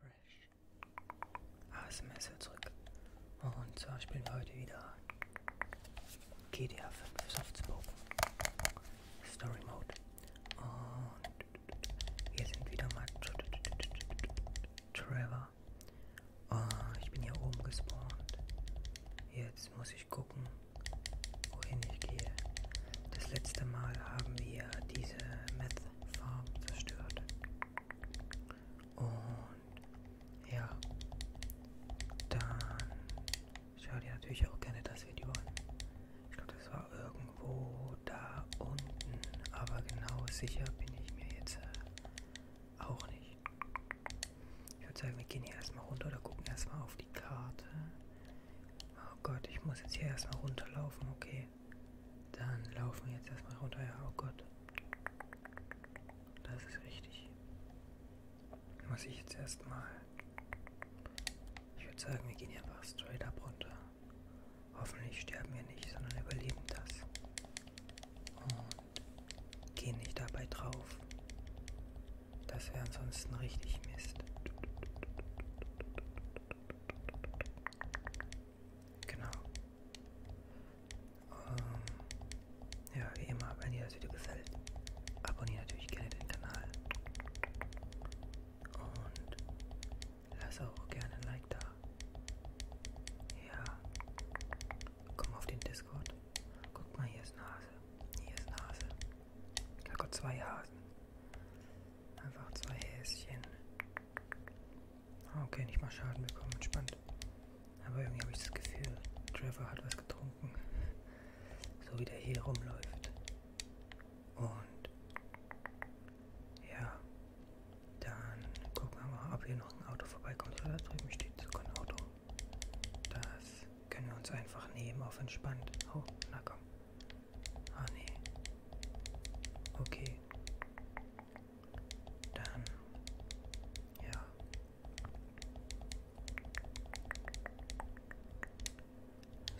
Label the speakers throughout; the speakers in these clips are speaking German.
Speaker 1: Fresh ah, ASMR zurück und zwar spielen wir heute wieder GTA 5 Softspoken Story Mode und wir sind wieder mal Trevor und ah, ich bin hier oben gespawnt jetzt muss ich gucken wohin ich gehe das letzte Mal haben wir diese Method Farben zerstört. Und ja, dann schau dir natürlich auch gerne das Video an. Ich glaube, das war irgendwo da unten, aber genau sicher bin ich mir jetzt äh, auch nicht. Ich würde sagen, wir gehen hier erstmal runter oder gucken erstmal auf die Karte. Oh Gott, ich muss jetzt hier erstmal runterlaufen, okay. Dann laufen wir jetzt erstmal runter. Ja, oh Gott. Das ist richtig. Muss ich jetzt erstmal. Ich würde sagen, wir gehen hier einfach straight up runter. Hoffentlich sterben wir nicht, sondern überleben das. Und gehen nicht dabei drauf. Das wäre ansonsten richtig Mist. Genau. Um, ähm, ja, wie immer, wenn dir das Video gefällt, abonniere natürlich gerne den Kanal. Und lass auch gerne ein Like da. Ja. Komm auf den Discord. Guck mal, hier ist eine Hase. Hier ist eine Hase. Da Gott, zwei Hasen. Einfach zwei Häschen. Okay, nicht mal Schaden bekommen, entspannt. Aber irgendwie habe ich das Gefühl, Trevor hat was getrunken. So wie der hier rumläuft. Und ja, dann gucken wir mal, ob hier noch ein Auto vorbeikommt. Ja, da drüben steht sogar ein Auto. Das können wir uns einfach nehmen auf entspannt. Oh, na komm. Ah nee. Okay. Dann. Ja.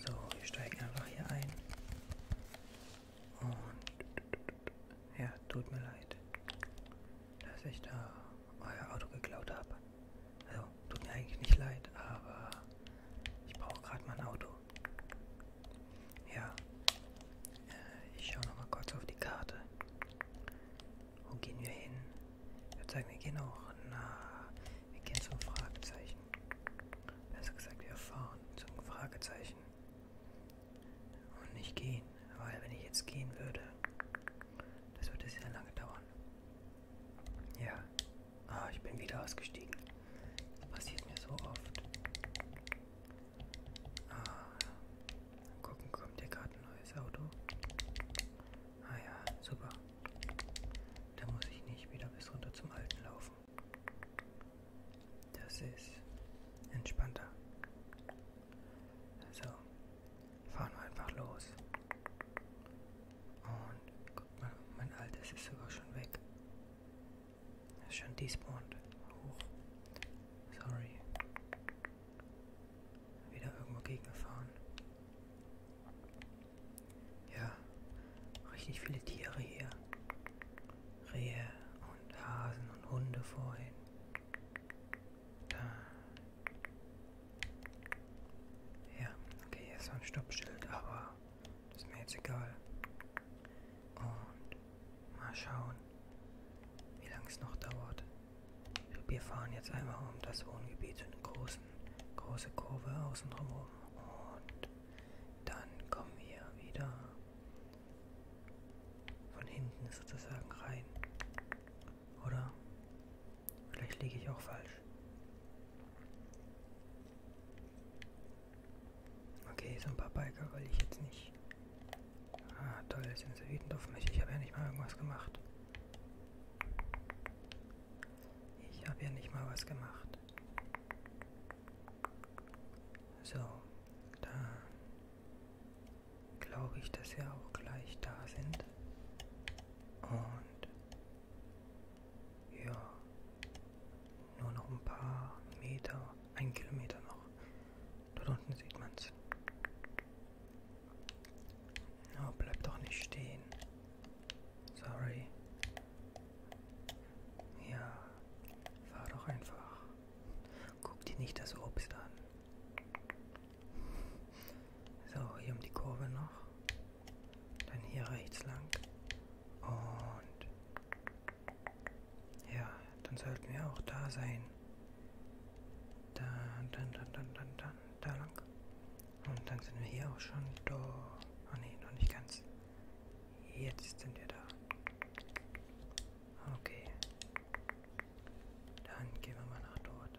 Speaker 1: So, wir steigen einfach hier ein. Und ja, tut mir leid, dass ich da euer Auto geklaut habe. Also, tut mir eigentlich nicht leid, aber ich brauche gerade mein Auto. Ja. Äh, ich schaue nochmal kurz auf die Karte. Wo gehen wir hin? Ich würde sagen, wir gehen auch nach. Wir gehen zum Fragezeichen. Besser gesagt, wir fahren zum Fragezeichen. Und nicht gehen. Weil wenn ich jetzt gehen würde, das würde sehr lange dauern. Ja. Ah, ich bin wieder ausgestiegen. Das passiert mir so oft. Ah, dann gucken, kommt hier gerade ein neues Auto. Ah ja, super. Da muss ich nicht wieder bis runter zum Alten laufen. Das ist entspannter. So, fahren wir einfach los. Und guck mal, mein altes ist sogar schon weg. Ist schon despawned. Hoch. Sorry. Wieder irgendwo gegengefahren. Ja, richtig viele Tiere hier. Rehe und Hasen und Hunde vorhin. Da. Ja, okay, hier ist so ein Stoppschild, aber ist mir jetzt egal. Und mal schauen, wie lange es noch dauert. Wir fahren jetzt einmal um das Wohngebiet, so eine großen, große Kurve außen drum Und dann kommen wir wieder von hinten sozusagen rein. Oder? Vielleicht liege ich auch falsch. Okay, so ein paar Biker will ich jetzt nicht. Ah, toll, jetzt sind sie wütend auf mich. Ich habe ja nicht mal irgendwas gemacht. Ich habe ja nicht mal was gemacht. So, da glaube ich, dass wir auch gleich da sind. Und ja, nur noch ein paar Meter, ein Kilometer noch. Dort unten sieht man's. Oh, bleib doch nicht stehen. Sorry. Ja, fahr doch einfach. Guck dir nicht das Obst an. So, hier um die Kurve noch. Dann hier rechts lang. Und ja, dann sollten wir auch da sein. Dann, dann, dann, dann, dann, dann, da lang. Und dann sind wir hier auch schon da. Oh ne, noch nicht ganz. Jetzt sind wir da. Okay. Dann gehen wir mal nach dort.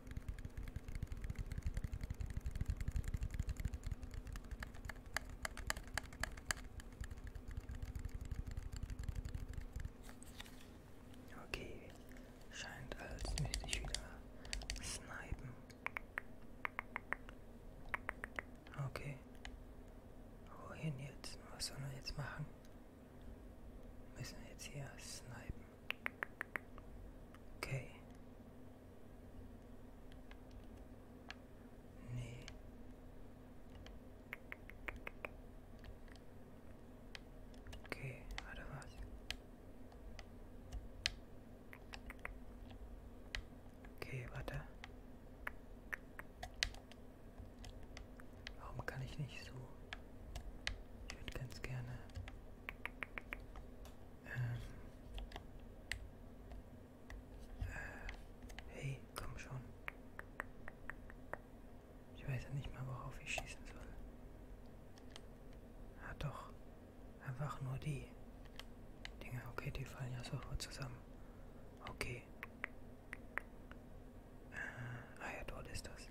Speaker 1: Okay, scheint als müsste ich wieder snipen. Okay. Wohin jetzt? Was sollen wir jetzt machen? Müssen wir jetzt hier snipen? Okay. Nee. Okay, warte was. Okay, warte. Warum kann ich nicht so? Ich würde ganz gerne ähm. Äh. Hey, komm schon. Ich weiß ja nicht mal, worauf ich schießen soll. Ah doch. Einfach nur die. Dinger, okay, die fallen ja sofort zusammen. Okay. Äh, ah ja, dort ist das.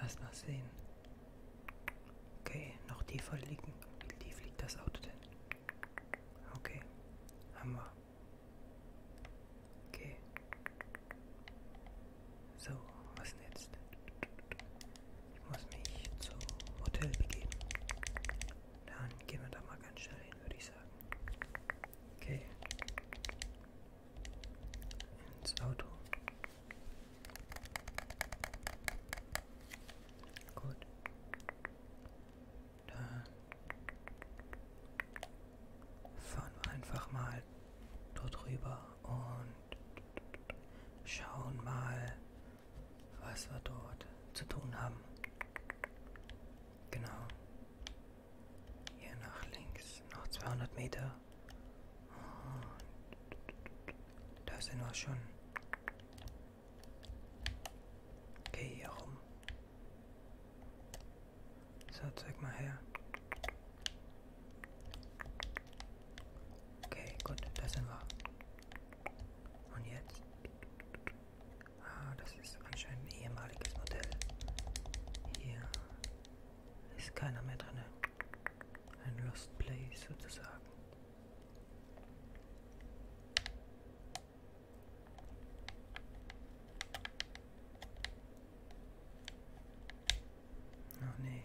Speaker 1: Erst mal sehen. Okay, noch tiefer liegen. Wie tief liegt das Auto denn? Okay, haben wir. Okay. So, was denn jetzt? Ich muss mich zum Hotel begeben. Dann gehen wir da mal ganz schnell hin, würde ich sagen. Okay. Ins Auto. Gut. Dann fahren wir einfach mal dort rüber und schauen mal, was wir dort zu tun haben. Genau. Hier nach links, noch 200 Meter. Ah. Da sind wir schon. Geh hier rum. So, zeig mal her. Okay, gut, da sind wir. Und jetzt? Ah, das ist anscheinend ein ehemaliges Modell. Hier ist keiner mehr drin. Ein Rust Play sozusagen. Oh nee.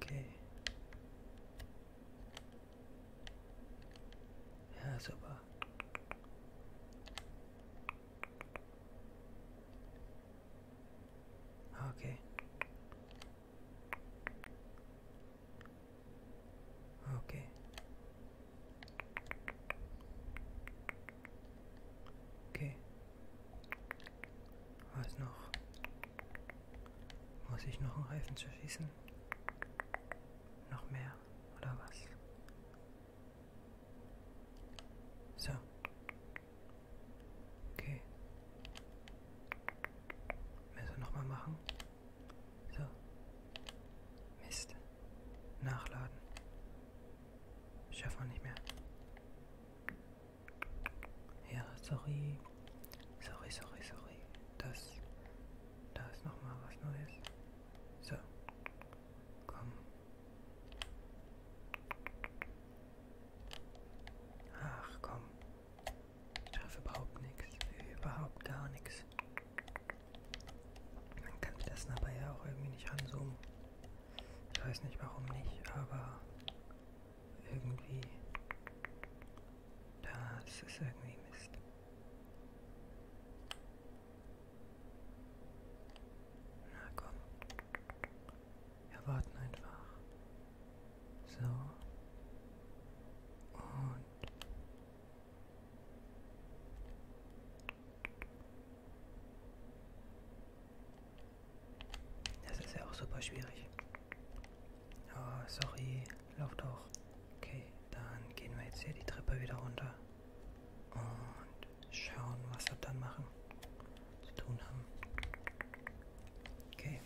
Speaker 1: Okay. Ja, super. Okay. Okay. Okay. Was noch? Muss ich noch einen Reifen zerschießen? Noch mehr oder was? So. Okay. Müssen wir nochmal machen. So. Mist. Nachladen. Schaffen wir nicht mehr. Ja, sorry. Sorry, sorry, sorry. Das. Da ist nochmal was Neues. So. Komm. Ach komm. Ich schaffe überhaupt nichts. Überhaupt gar nichts. Man kann das dabei ja auch irgendwie nicht ranzoomen. Ich weiß nicht warum nicht, aber irgendwie. Das ist irgendwie Mist. Na komm. Wir warten einfach. So. Und. Das ist ja auch super schwierig. Oh, sorry. Lauf doch. Okay, dann gehen wir jetzt hier die Treppe wieder runter. Und schauen, was wir dann machen, zu tun haben. Okay.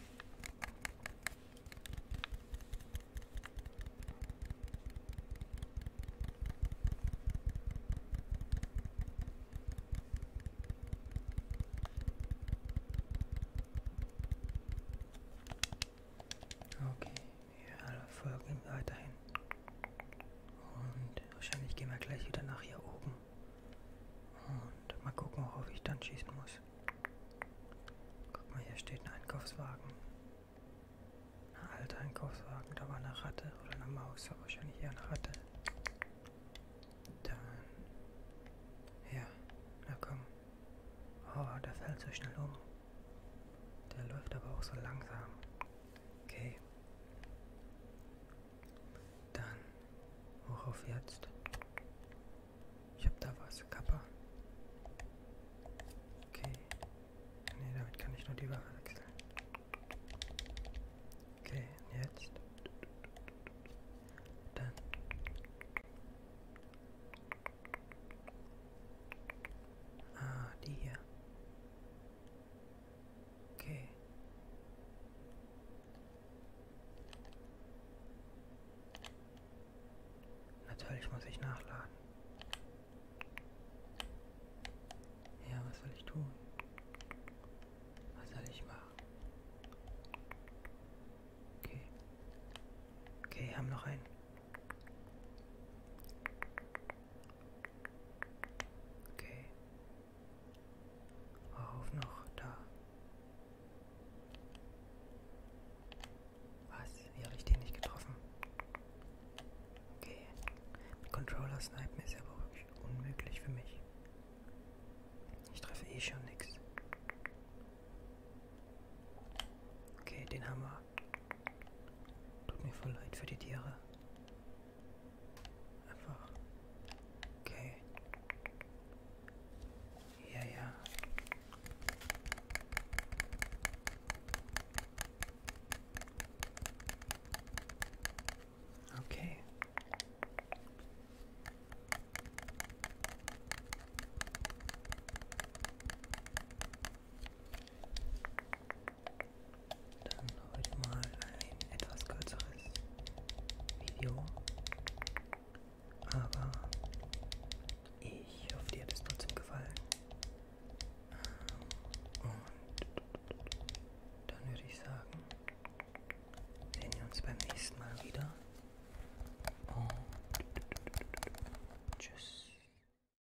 Speaker 1: Okay, wir folgen ihm weiterhin. Und wahrscheinlich gehen wir gleich wieder nach hier oben. Und mal gucken, worauf ich dann schießen muss. Guck mal, hier steht ein Einkaufswagen. Ein alter Einkaufswagen. Da war eine Ratte oder eine Maus, aber wahrscheinlich eher eine Ratte. Dann. Ja, na komm. Oh, der fällt so schnell um. Der läuft aber auch so langsam. Okay. Dann, worauf jetzt? Ich hab da was, Kappa. Okay. Ne, damit kann ich nur die Ware wechseln. Okay, jetzt. Dann. Ah, die hier. Okay. Natürlich muss ich nachladen. Ja, was soll ich tun? Was soll ich machen? Okay. Okay, haben noch einen. Okay. Auf noch da. Was? Wie habe ich den nicht getroffen? Okay. Mit Controller snipen ist aber wirklich unmöglich für mich. Ich treffe eh schon nichts. Okay, den haben wir. Tut mir voll leid für die Tiere. Einfach. Okay. Ja, ja. Okay. Dann heute mal ein etwas kürzeres Video. Aber ich hoffe, dir hat es trotzdem gefallen. Ähm, und dann würde ich sagen, sehen wir uns beim nächsten Mal wieder. Und tschüss.